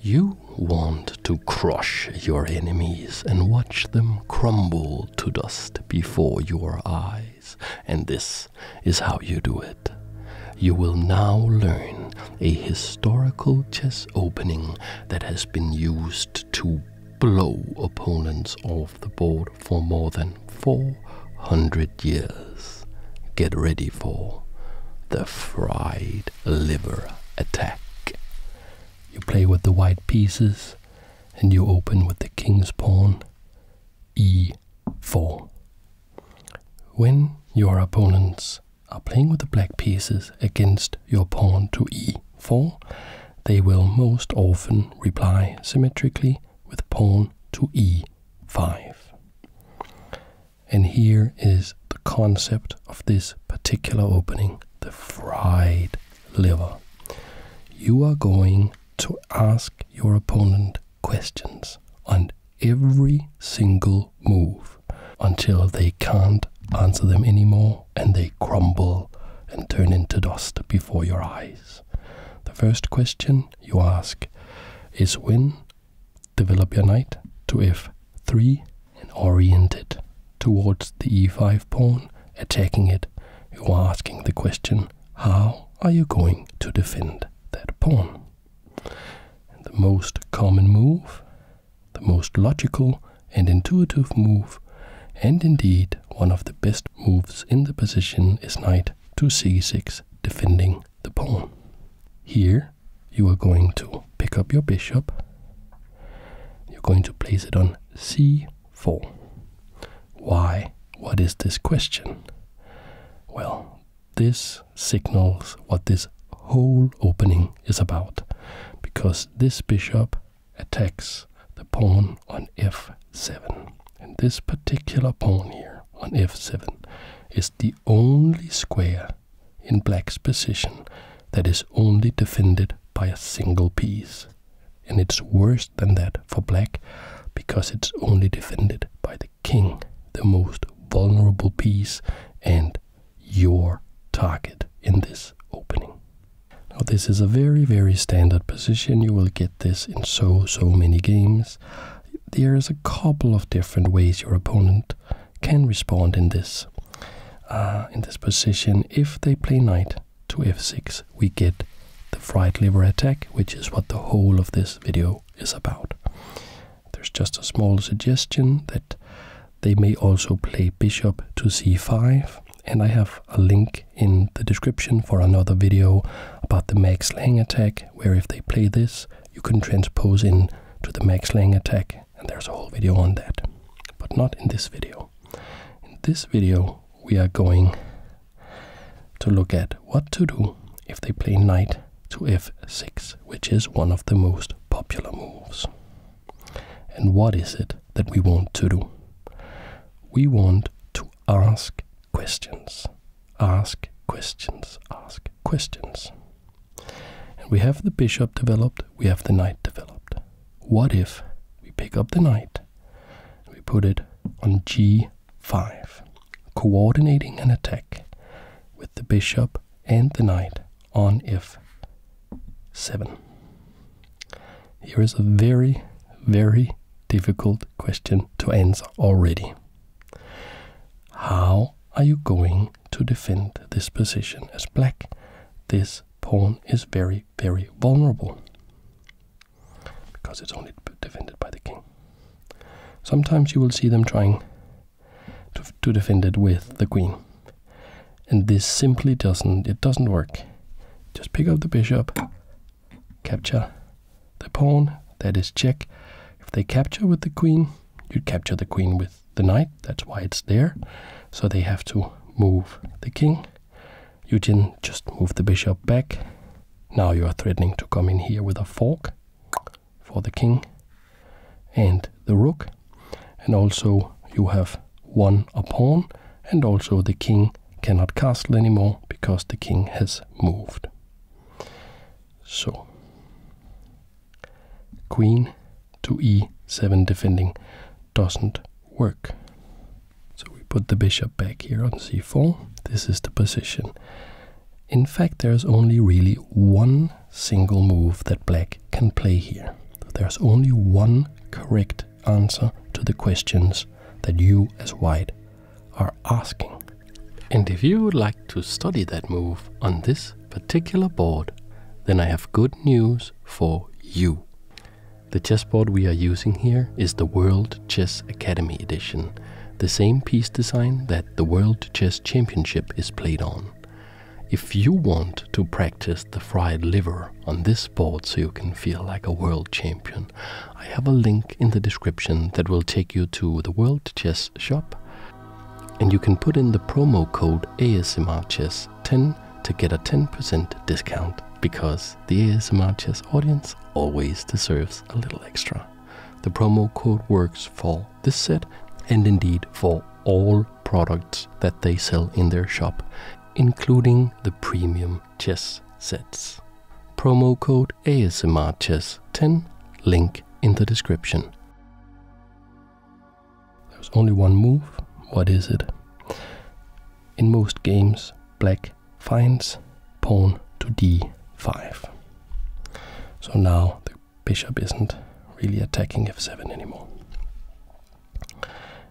You want to crush your enemies and watch them crumble to dust before your eyes, and this is how you do it. You will now learn a historical chess opening that has been used to blow opponents off the board for more than 400 years. Get ready for the fried liver attack. You play with the white pieces and you open with the king's pawn e4. When your opponents are playing with the black pieces against your pawn to e4, they will most often reply symmetrically with pawn to e5. And here is the concept of this particular opening the fried liver. You are going to ask your opponent questions on every single move until they can't answer them anymore and they crumble and turn into dust before your eyes. The first question you ask is when Develop your knight to f3 and orient it towards the e5 pawn, attacking it. You are asking the question, how are you going to defend that pawn? the most common move, the most logical and intuitive move, and indeed one of the best moves in the position is knight to c6, defending the pawn. Here you are going to pick up your bishop. You're going to place it on c4. Why? What is this question? Well, this signals what this whole opening is about, because this bishop attacks the pawn on f7. And this particular pawn here on f7 is the only square in black's position that is only defended by a single piece. And it's worse than that for black because it's only defended by the king, the most vulnerable piece, and your target in this opening. Now, this is a very, very standard position. You will get this in so, so many games. There is a couple of different ways your opponent can respond in this uh, in this position. If they play knight to f6, we get the fried liver attack, which is what the whole of this video is about. There's just a small suggestion that they may also play bishop to c5, and I have a link in the description for another video about the Max Lang attack, where if they play this, you can transpose in to the max lang attack and there's a whole video on that but not in this video in this video we are going to look at what to do if they play knight to f6 which is one of the most popular moves and what is it that we want to do we want to ask questions ask questions ask questions and we have the bishop developed, we have the knight developed. What if we pick up the knight and we put it on g5, coordinating an attack with the bishop and the knight on f7? Here is a very, very difficult question to answer already. How are you going to defend this position as black, this pawn is very, very vulnerable because it's only defended by the king. Sometimes you will see them trying to defend it with the queen. And this simply doesn't, it doesn't work. Just pick up the bishop, capture the pawn, that is check. If they capture with the queen, you capture the queen with the knight, that's why it's there. So they have to move the king. You didn't just move the bishop back. Now you are threatening to come in here with a fork for the king and the rook. And also you have won a pawn and also the king cannot castle anymore because the king has moved. So Queen to e7 defending doesn't work. So we put the bishop back here on c4. This is the position. In fact, there's only really one single move that black can play here. There's only one correct answer to the questions that you as white are asking. And if you would like to study that move on this particular board, then I have good news for you. The chessboard we are using here is the World Chess Academy edition, the same piece design that the World Chess Championship is played on. If you want to practice the fried liver on this board so you can feel like a world champion, I have a link in the description that will take you to the World Chess Shop and you can put in the promo code ASMRChess10 to get a 10% discount because the ASMR audience always deserves a little extra. The promo code works for this set and indeed for all products that they sell in their shop, including the premium chess sets. Promo code download ASMR Chess 10, link in the description. There's only one move, what is it? In most games, black finds pawn to d5. So now the bishop isn't really attacking f7 anymore.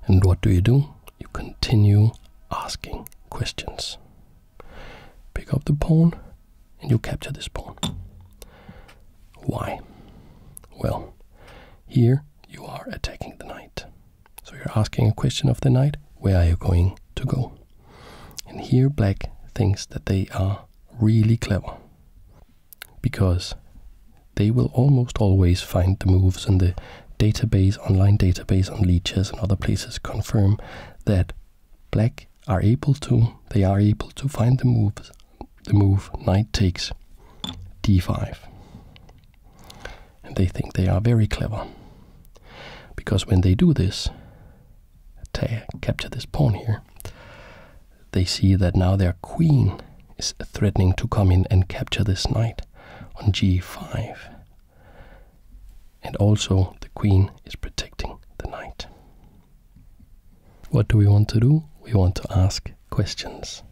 And what do you do? You continue asking questions. Pick up the pawn, and you capture this pawn. Why? Well, here you are attacking the knight. So you're asking a question of the knight where are you going to go? And here, black thinks that they are really clever because they will almost always find the moves in the database, online database, on Leeches and other places confirm that black are able to they are able to find the move the move knight takes d5 and they think they are very clever because when they do this capture this pawn here they see that now their queen is threatening to come in and capture this knight on g5 and also the queen is protecting the knight what do we want to do? We want to ask questions.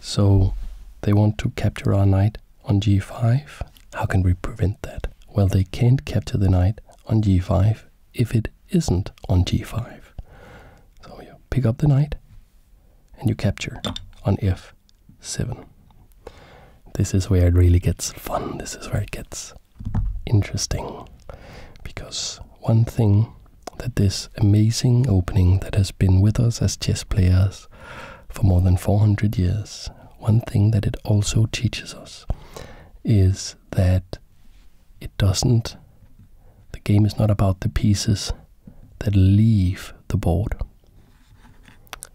So they want to capture our knight on g5. How can we prevent that? Well, they can't capture the knight on g5 if it isn't on g5. So you pick up the knight and you capture on f7. This is where it really gets fun. This is where it gets interesting because one thing that this amazing opening that has been with us as chess players for more than 400 years, one thing that it also teaches us is that it doesn't, the game is not about the pieces that leave the board.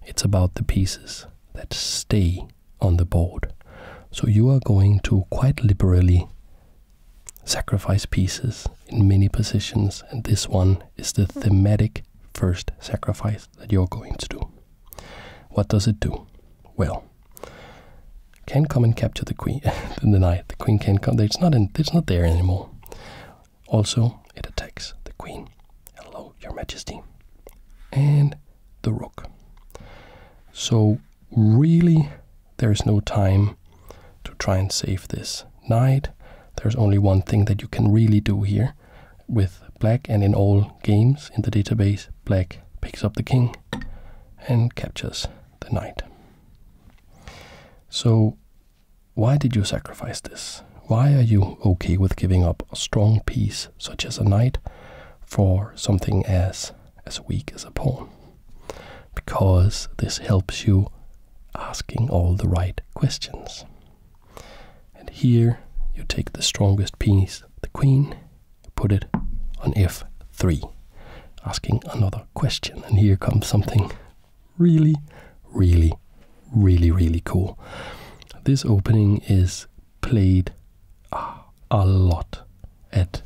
It's about the pieces that stay on the board. So you are going to quite liberally sacrifice pieces in many positions, and this one is the thematic first sacrifice that you're going to do. What does it do? Well, can come and capture the queen the knight. The queen can come. It's not in, it's not there anymore. Also, it attacks the queen. Hello, your majesty. And the rook. So, really, there's no time to try and save this knight. There's only one thing that you can really do here with black, and in all games in the database, black picks up the king and captures the knight. So, why did you sacrifice this? Why are you okay with giving up a strong piece, such as a knight, for something as, as weak as a pawn. Because this helps you asking all the right questions. And here you take the strongest piece, the queen, put it on f3, asking another question. And here comes something really, really, really, really cool. This opening is played uh, a lot at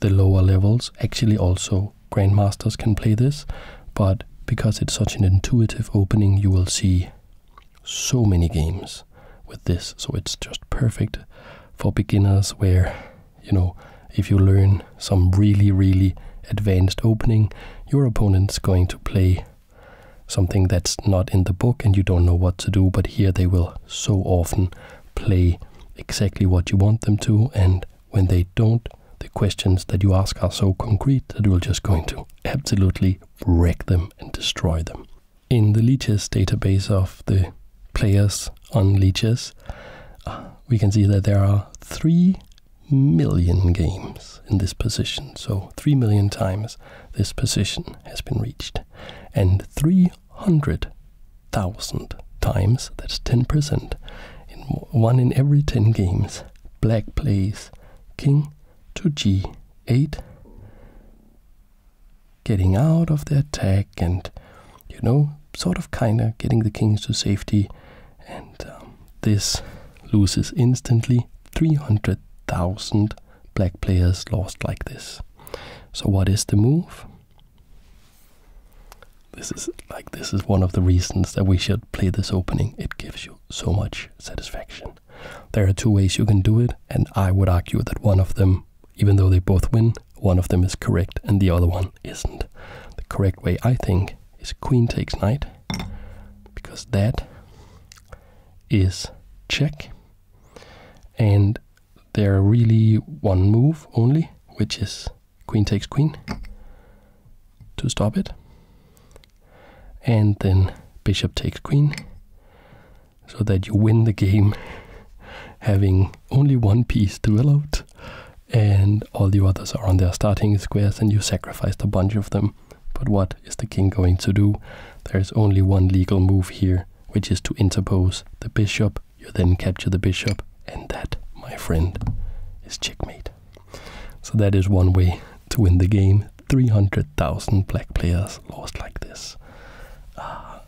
the lower levels. Actually, also grandmasters can play this, but because it's such an intuitive opening, you will see so many games with this. So it's just perfect for beginners where, you know, if you learn some really, really advanced opening, your opponent's going to play something that's not in the book and you don't know what to do, but here they will so often play exactly what you want them to, and when they don't, the questions that you ask are so concrete that you're just going to absolutely wreck them and destroy them. In the Leeches database of the players on Leeches, we can see that there are 3 million games in this position, so 3 million times this position has been reached. And 300,000 times, that's 10%, in one in every 10 games, black plays king to g8, getting out of the attack and, you know, sort of kind of getting the kings to safety. And um, this loses instantly 300,000 black players lost like this. So what is the move? This is like this is one of the reasons that we should play this opening. It gives you so much satisfaction. There are two ways you can do it, and I would argue that one of them, even though they both win, one of them is correct and the other one isn't. The correct way I think is queen takes knight because that is check and there are really one move only, which is queen takes queen to stop it, and then bishop takes queen, so that you win the game having only one piece developed and all the others are on their starting squares and you sacrificed a bunch of them but what is the king going to do? There is only one legal move here, which is to interpose the bishop. You then capture the bishop, and that, my friend, is checkmate. So that is one way to win the game. 300,000 black players lost like this. Ah,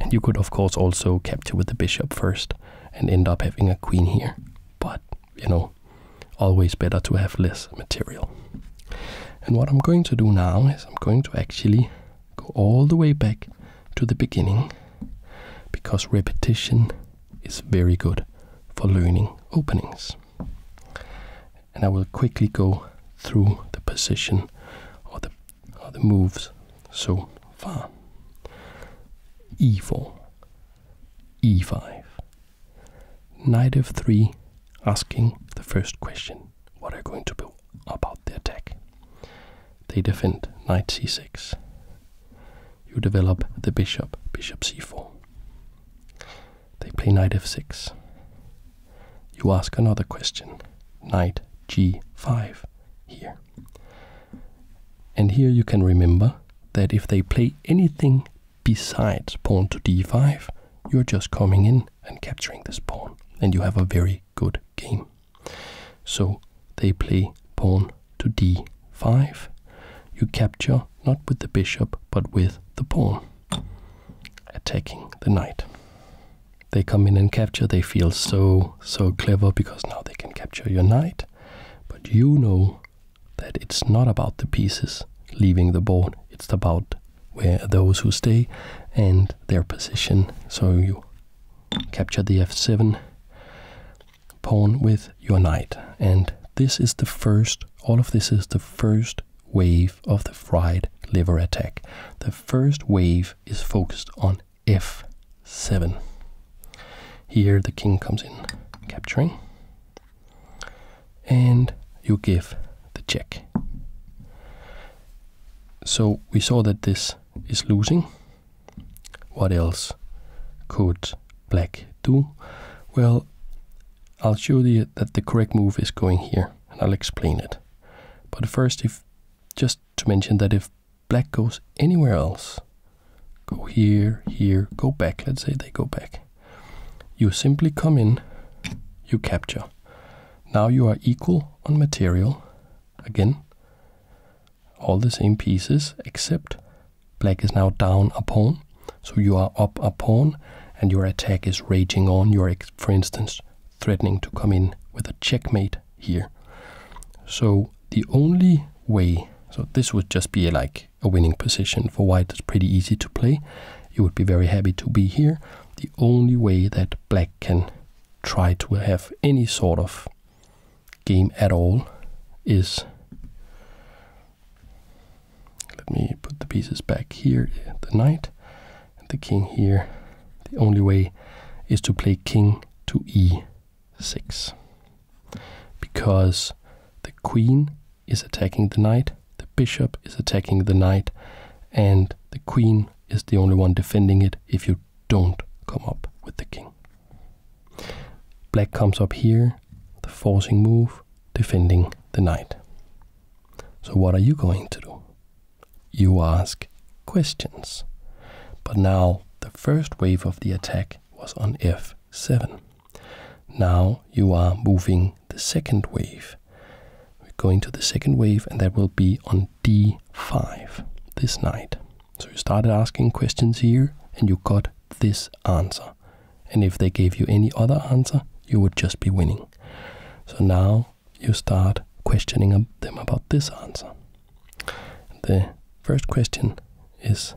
and you could, of course, also capture with the bishop first and end up having a queen here. But, you know, always better to have less material. And what I'm going to do now is I'm going to actually go all the way back to the beginning because repetition is very good for learning openings. And I will quickly go through the position or the, moves so far. e4, e5, Knight f3, asking the first question what are you going to do about the attack? They defend knight c6. You develop the bishop, bishop c4. They play knight f6. You ask another question, knight g5 here. And here you can remember that if they play anything besides pawn to d5, you're just coming in and capturing this pawn, and you have a very good game. So they play pawn to d5. You capture not with the bishop, but with the pawn, attacking the knight. They come in and capture, they feel so, so clever because now they can capture your knight. But you know that it's not about the pieces leaving the board, it's about where those who stay and their position. So you capture the f7 pawn with your knight. And this is the first, all of this is the first wave of the fried liver attack. The first wave is focused on f7. Here the king comes in, capturing and you give the check. So we saw that this is losing. What else could black do? Well, I'll show you that the correct move is going here, and I'll explain it. But first, if just to mention that if black goes anywhere else, go here, here, go back, let's say they go back, you simply come in, you capture. Now you are equal on material. Again, all the same pieces except black is now down a pawn, so you are up a pawn and your attack is raging on. You're, for instance, threatening to come in with a checkmate here. So the only way, so this would just be like a winning position for white, it's pretty easy to play you would be very happy to be here. The only way that black can try to have any sort of game at all is. Let me put the pieces back here, the knight, the king here. The only way is to play king to e6. Because the queen is attacking the knight, the bishop is attacking the knight, and the queen is the only one defending it if you don't come up with the king. Black comes up here, the forcing move, defending the knight. So what are you going to do? You ask questions. But now the first wave of the attack was on f7. Now you are moving the second wave. We're going to the second wave, and that will be on d5 this night. So you started asking questions here, and you got this answer. And if they gave you any other answer, you would just be winning. So now you start questioning them about this answer. The first question is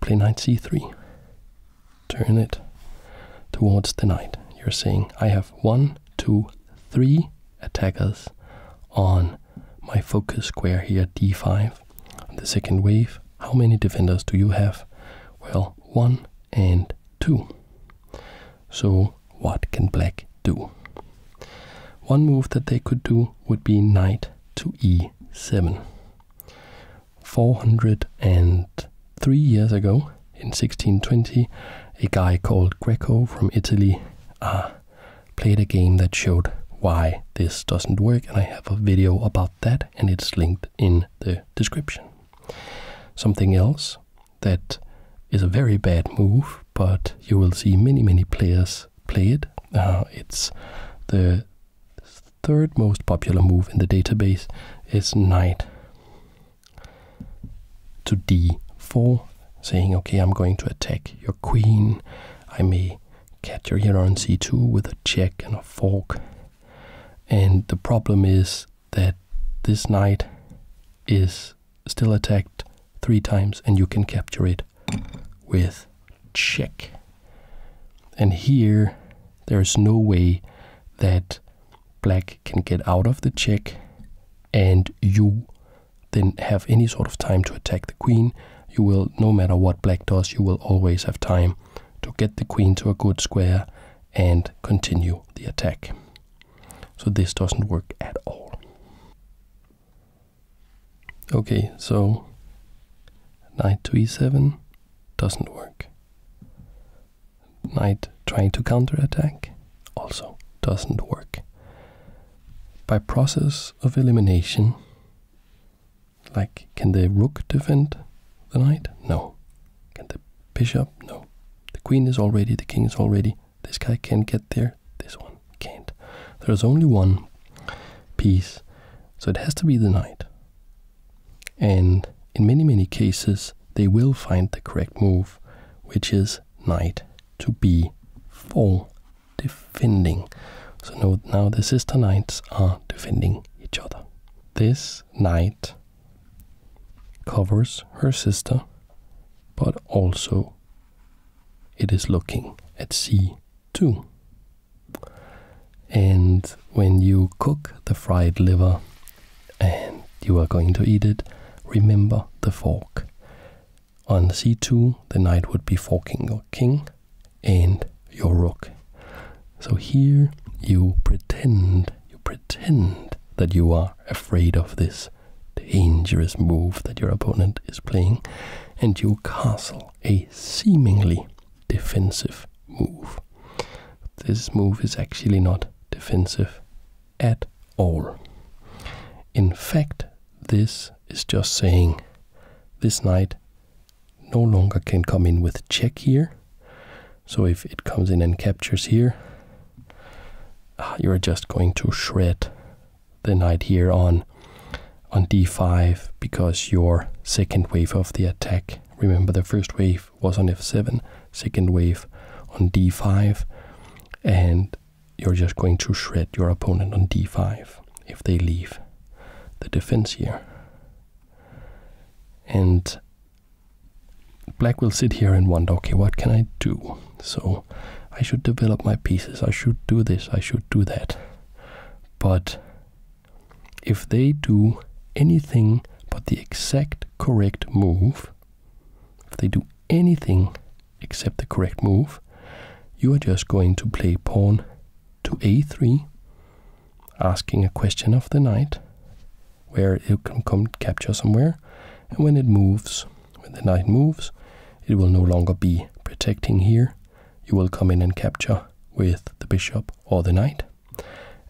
play knight c3 turn it towards the knight. You're saying, I have one, two, three attackers on my focus square here, d5. the second wave, how many defenders do you have? Well, one and two. So, what can black do? One move that they could do would be knight to e7. 403 years ago, in 1620, a guy called Greco from Italy uh, played a game that showed why this doesn't work, and I have a video about that, and it's linked in the description. Something else that is a very bad move, but you will see many, many players play it. Uh, it's the third most popular move in the database is knight to d4, saying, okay, I'm going to attack your queen. I may capture here on c2 with a check and a fork. And the problem is that this knight is still attacked three times and you can capture it with check. And here there is no way that black can get out of the check and you then have any sort of time to attack the queen. You will, no matter what black does, you will always have time to get the queen to a good square and continue the attack. So this doesn't work at all. Okay, so knight to e7, doesn't work. Knight trying to counterattack also doesn't work. By process of elimination, like can the rook defend the knight? No. Can the bishop? No. The queen is already, the king is already. This guy can get there, this one can't. There's only one piece, so it has to be the knight. And in many, many cases, they will find the correct move, which is knight to b4, defending. So now, now the sister knights are defending each other. This knight covers her sister, but also it is looking at c2. And when you cook the fried liver and you are going to eat it, remember the fork. On c2, the knight would be forking your king and your rook. So here you pretend, you pretend that you are afraid of this dangerous move that your opponent is playing, and you castle a seemingly defensive move. this move is actually not defensive at all. In fact, this is just saying this knight no longer can come in with check here. So if it comes in and captures here, ah, you're just going to shred the knight here on on d5 because your second wave of the attack Remember, the first wave was on f7, second wave on d5, and you're just going to shred your opponent on d5 if they leave the defense here. And black will sit here and wonder, okay, what can I do? So I should develop my pieces, I should do this, I should do that. But if they do anything but the exact correct move, if they do anything except the correct move, you are just going to play pawn to a3, asking a question of the knight, where it can come capture somewhere, and when it moves, when the knight moves, it will no longer be protecting here. You will come in and capture with the bishop or the knight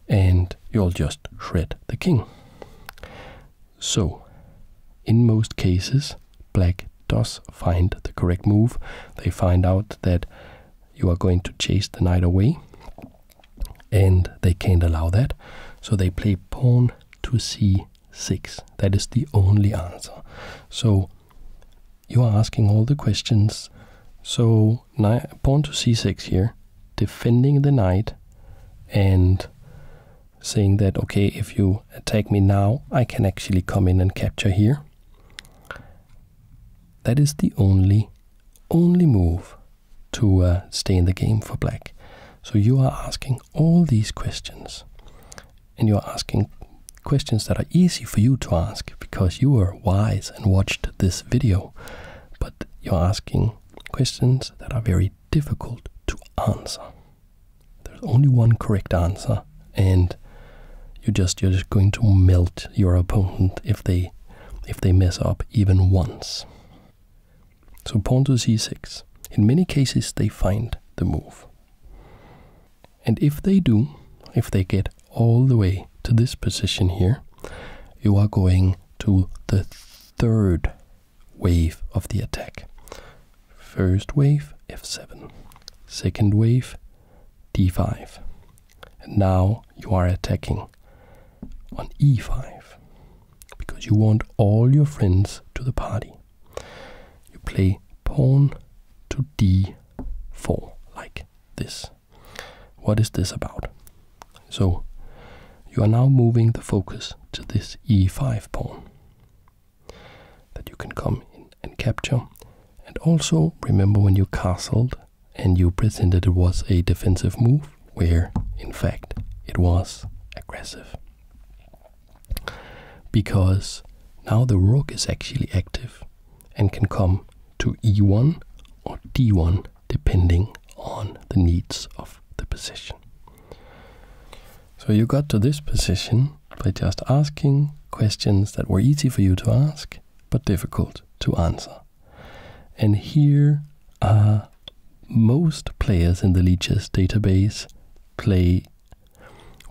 and you'll just shred the king. So, in most cases, black does find the correct move. They find out that you are going to chase the knight away, and they can't allow that. So they play pawn to c6. That is the only answer. So you are asking all the questions. So pawn to c6 here, defending the knight and saying that, okay, if you attack me now, I can actually come in and capture here. That is the only, only move to uh, stay in the game for black. So you are asking all these questions. And you're asking questions that are easy for you to ask because you are Wise and watched this video, but you're asking questions that are very difficult to answer. There's only one correct answer, and you just you're just going to melt your opponent if they if they mess up even once. So pawn to c6. In many cases, they find the move. And if they do, if they get all the way to this position here, you are going to the third wave of the attack. First wave, f7. Second wave, d5. And now you are attacking on e5 because you want all your friends to the party. You play pawn to d4 like this. What is this about? So, you are now moving the focus to this e5 pawn that you can come in and capture. And also, remember when you castled and you presented it was a defensive move, where in fact it was aggressive. Because now the rook is actually active and can come to e1 or d1 depending on the needs of the position. So you got to this position by just asking questions that were easy for you to ask but difficult to answer. And here are most players in the Leeches database play,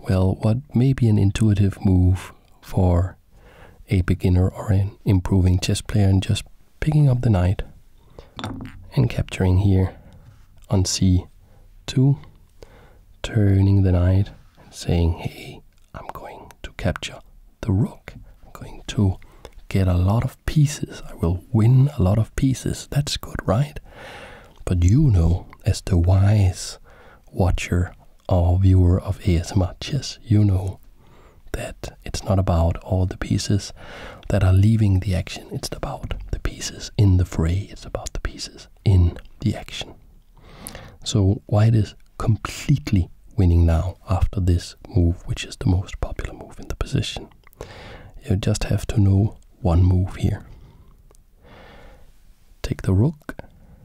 well, what may be an intuitive move for a beginner or an improving chess player and just picking up the knight and capturing here on c2, turning the knight saying, hey, I'm going to capture the rook. I'm going to get a lot of pieces. I will win a lot of pieces. That's good, right? But you know, as the wise watcher are a viewer of as much as you know that it's not about all the pieces that are leaving the action, it's about the pieces in the fray, it's about the pieces in the action. So, white is completely winning now after this move, which is the most popular move in the position. You just have to know one move here take the rook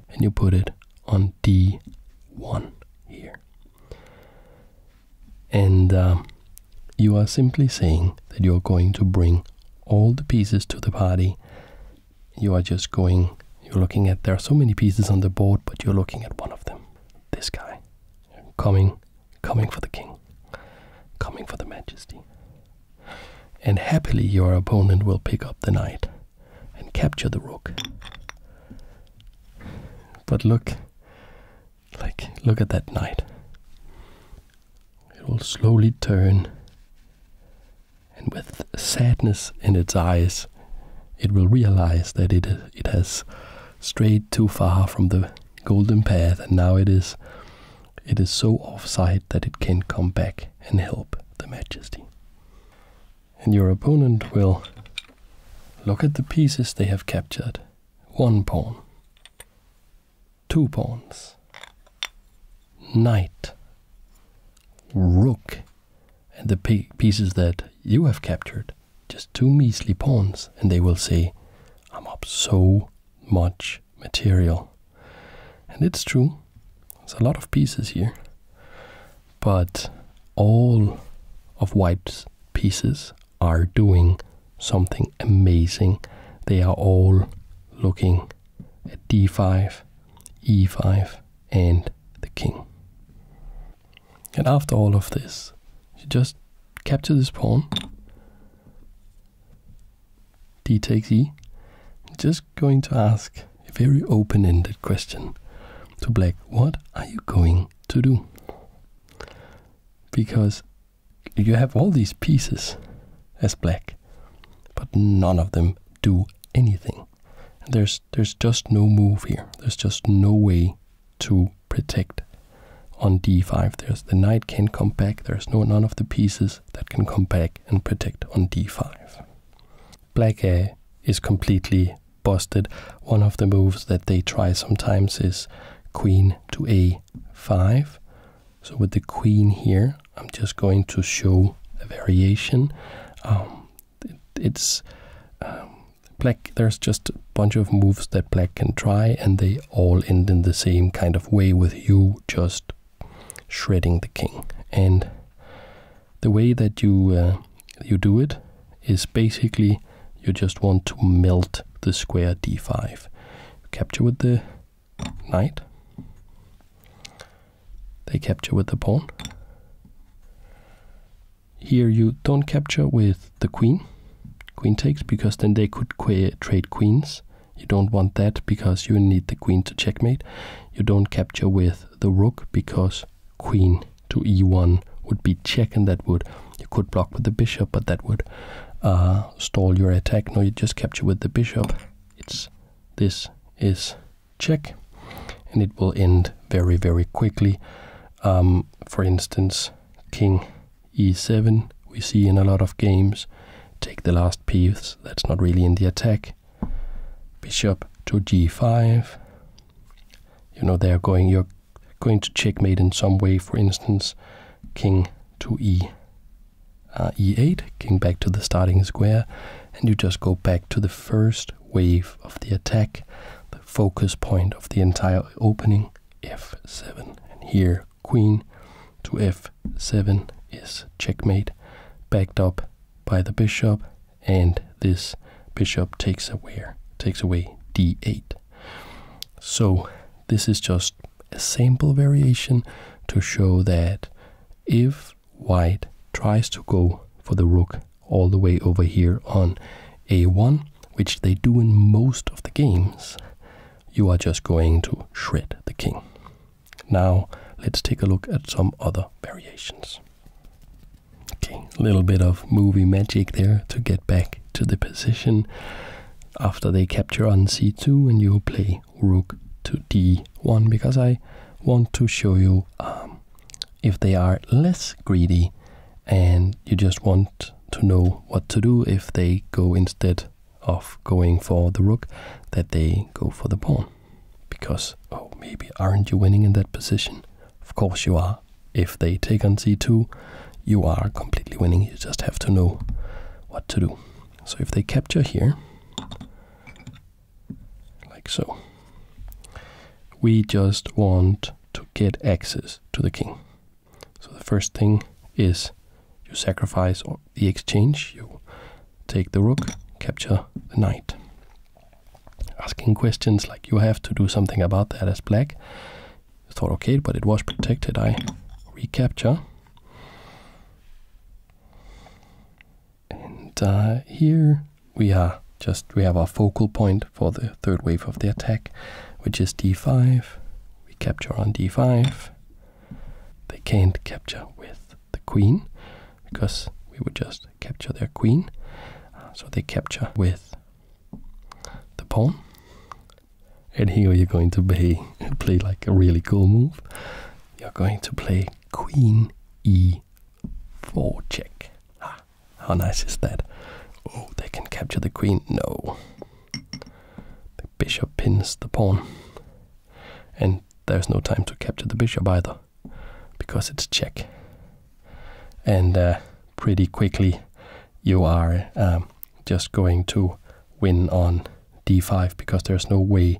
and you put it on d1 here. And um, you are simply saying that you're going to bring all the pieces to the party. You are just going, you're looking at, there are so many pieces on the board, but you're looking at one of them. This guy. Coming, coming for the king. Coming for the majesty. And happily your opponent will pick up the knight and capture the rook. But look, like, look at that knight. It will slowly turn, and with sadness in its eyes, it will realize that it, it has strayed too far from the golden path, and now it is, it is so offside that it can come back and help the Majesty and your opponent will look at the pieces they have captured. One pawn, two pawns, knight, rook, and the pieces that you have captured. Just two measly pawns, and they will say, I'm up so much material. And it's true, there's a lot of pieces here, but all of White's pieces are doing something amazing. They are all looking at d5, e5, and the king. And after all of this, you just capture this pawn, d takes e, just going to ask a very open ended question to Black What are you going to do? Because you have all these pieces as black, but none of them do anything. there's, there's just no move here, there's just no way to protect on d5. There's the knight can come back. There's no none of the pieces that can come back and protect on d5. Black A is completely busted. One of the moves that they try sometimes is queen to a5. So with the queen here, I'm just going to show a variation. Um, it's um, black. There's just a bunch of moves that black can try, and they all end in the same kind of way with you just shredding the king. And the way that you uh, you do it is basically you just want to melt the square d5. capture with the knight. They capture with the pawn. Here you don't capture with the queen. Queen takes because then they could trade queens. You don't want that because you need the queen to checkmate. You don't capture with the rook because queen to e1 would be check and that would you could block with the bishop but that would uh, stall your attack no you just capture with the bishop it's this is check and it will end very very quickly um, for instance king e7 we see in a lot of games take the last piece that's not really in the attack bishop to g5. You know, they're going, you're going to checkmate in some way, for instance, king to e, uh, e8, king back to the starting square, and you just go back to the first wave of the attack, the focus point of the entire opening, f7. And here, queen to f7 is checkmate, backed up by the bishop, and this bishop takes away takes away d8. So this is just a sample variation to show that if white tries to go for the rook all the way over here on a1, which they do in most of the games, you are just going to shred the king. Now let's take a look at some other variations. Okay, a little bit of movie magic there to get back to the position. After they capture on c2 and you play rook to d1 because I want to show you um, if they are less greedy and you just want to know what to do if they go instead of going for the rook that they go for the pawn because, oh, maybe aren't you winning in that position? Of course you are. If they take on c2, you are completely winning. You just have to know what to do. So if they capture here, like so, we just want to get access to the king. So the first thing is you sacrifice or the exchange, you take the rook, capture the knight. Asking questions like you have to do something about that as black. thought okay, but it was protected. I recapture. And uh, here we are just we have our focal point for the third wave of the attack, which is d5. We capture on d5. They can't capture with the queen because we would just capture their queen. Uh, so they capture with the pawn. And here you're going to play, play like a really cool move. You're going to play queen e4 check. Ah, how nice is that? Oh, they can capture the queen. No. The bishop pins the pawn. And there's no time to capture the bishop either, because it's check. And uh, pretty quickly, you are um, just going to win on d5 because there's no way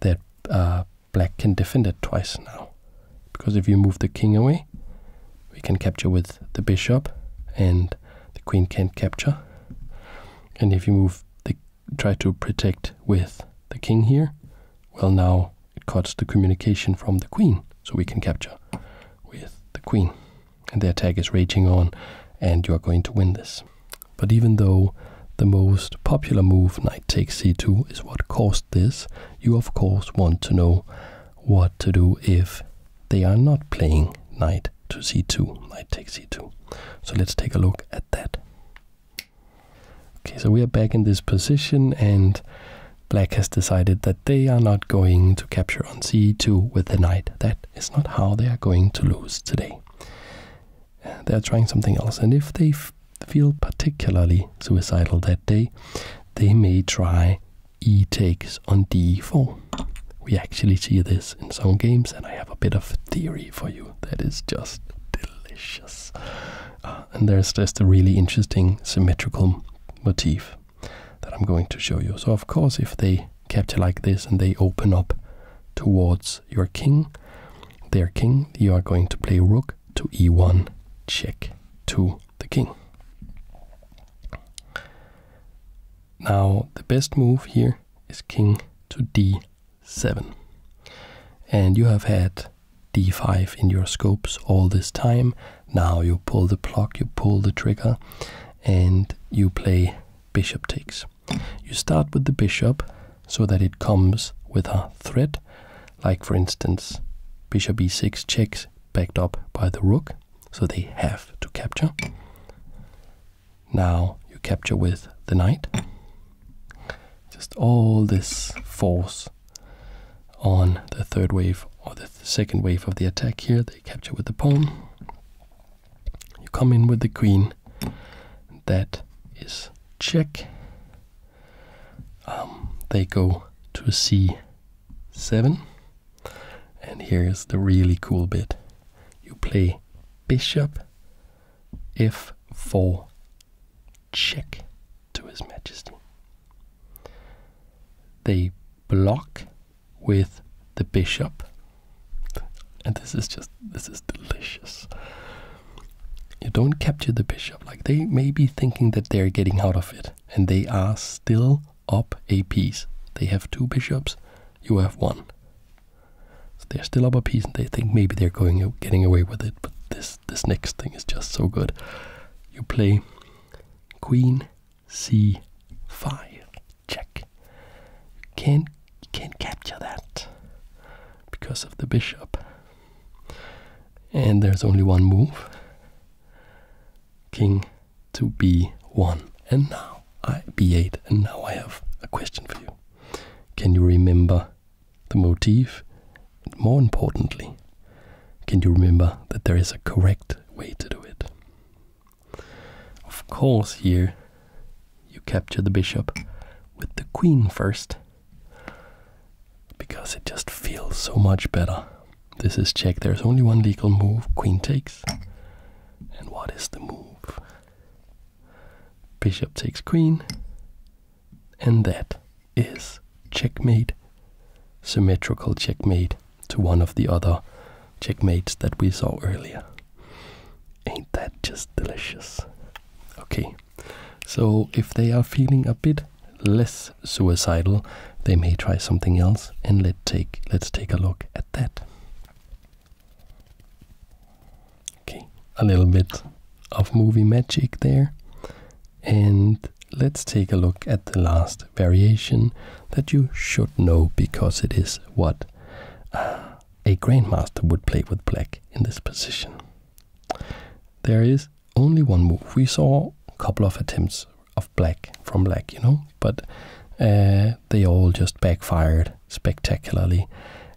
that uh, black can defend it twice now. Because if you move the king away, we can capture with the bishop and the queen can't capture. And if you move the try to protect with the king here. Well, now it cuts the communication from the queen, so we can capture with the queen. And the attack is raging on, and you are going to win this. But even though the most popular move, knight takes c2, is what caused this, you of course want to know what to do if they are not playing knight to c2, knight takes c2. So let's take a look at that. Okay, so we are back in this position and black has decided that they are not going to capture on c2 with the knight. That is not how they are going to lose today. they are trying something else and if they feel particularly suicidal that day, they may try e takes on d4. We actually see this in some games, and I have a bit of theory for you that is just delicious. Uh, and there's just a really interesting symmetrical motif that I'm going to show you. So, of course, if they capture like this and they open up towards your king, their king, you are going to play rook to e1, check to the king. Now, the best move here is king to d 7. And you have had d5 in your scopes all this time. Now you pull the plug, you pull the trigger, and you play bishop takes. You start with the bishop so that it comes with a threat, like for instance, bishop e6 checks backed up by the rook, so they have to capture. Now you capture with the knight. Just all this force on the third wave or the second wave of the attack here. They capture with the pawn. You come in with the queen. That is check. Um, they go to c7. And here's the really cool bit. You play bishop f4 check to his majesty. They block with the bishop. And this is just this is delicious. You don't capture the bishop. Like they may be thinking that they're getting out of it, and they are still up a piece. They have two bishops, you have one they're still up a piece, and they think maybe they're going getting away with it. But this this next thing is just so good. You play Queen C five check. You can't can't capture that because of the bishop. And there's only one move. King to B1. And now I, b8. And now I have a question for you. Can you remember the motif? And more importantly, can you remember that there is a correct way to do it? Of course, here you capture the bishop with the queen first because it just feels so much better. This is check. There's only one legal move. Queen takes. And what is the move? Bishop takes queen, and that is checkmate. Symmetrical checkmate to one of the other checkmates that we saw earlier. Ain't that just delicious? Okay, so if they are feeling a bit less suicidal, they may try something else, and let take let's take a look at that. Okay, a little bit of movie magic there. And let's take a look at the last variation that you should know because it is what uh, a grandmaster would play with black in this position. There is only one move. We saw a couple of attempts of black from black, you know, but uh, they all just backfired spectacularly.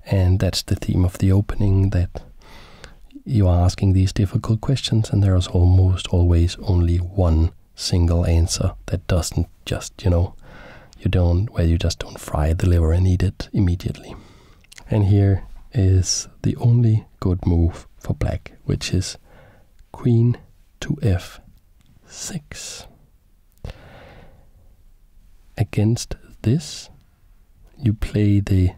And that's the theme of the opening that you are asking these difficult questions, and there is almost always only one single answer that doesn't just, you know, you don't, where you just don't fry the liver and eat it immediately. And here is the only good move for black, which is queen to f6. Against this, you play the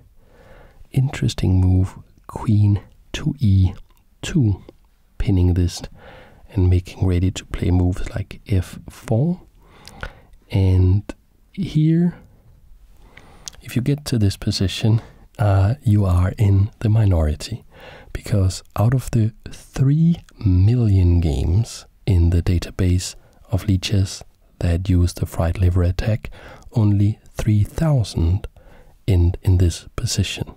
interesting move queen to e2, pinning this and making ready to play moves like f4. And here, if you get to this position, uh, you are in the minority because out of the 3 million games in the database of leeches that had used the fried liver attack, only 3,000 in, in this position.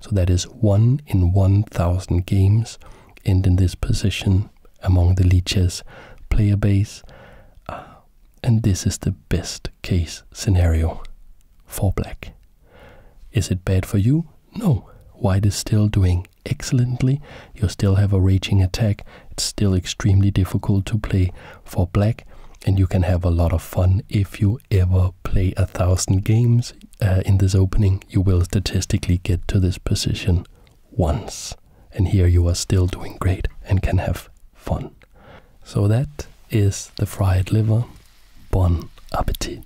So that is 1 in 1,000 games end in this position among the leeches player base. Uh, and this is the best case scenario for black. Is it bad for you? No. White is still doing excellently, you still have a raging attack. It's still extremely difficult to play for black, and you can have a lot of fun if you ever play a thousand games uh, in this opening. You will statistically get to this position once, and here you are still doing great and can have fun. So that is the fried liver. Bon appetit.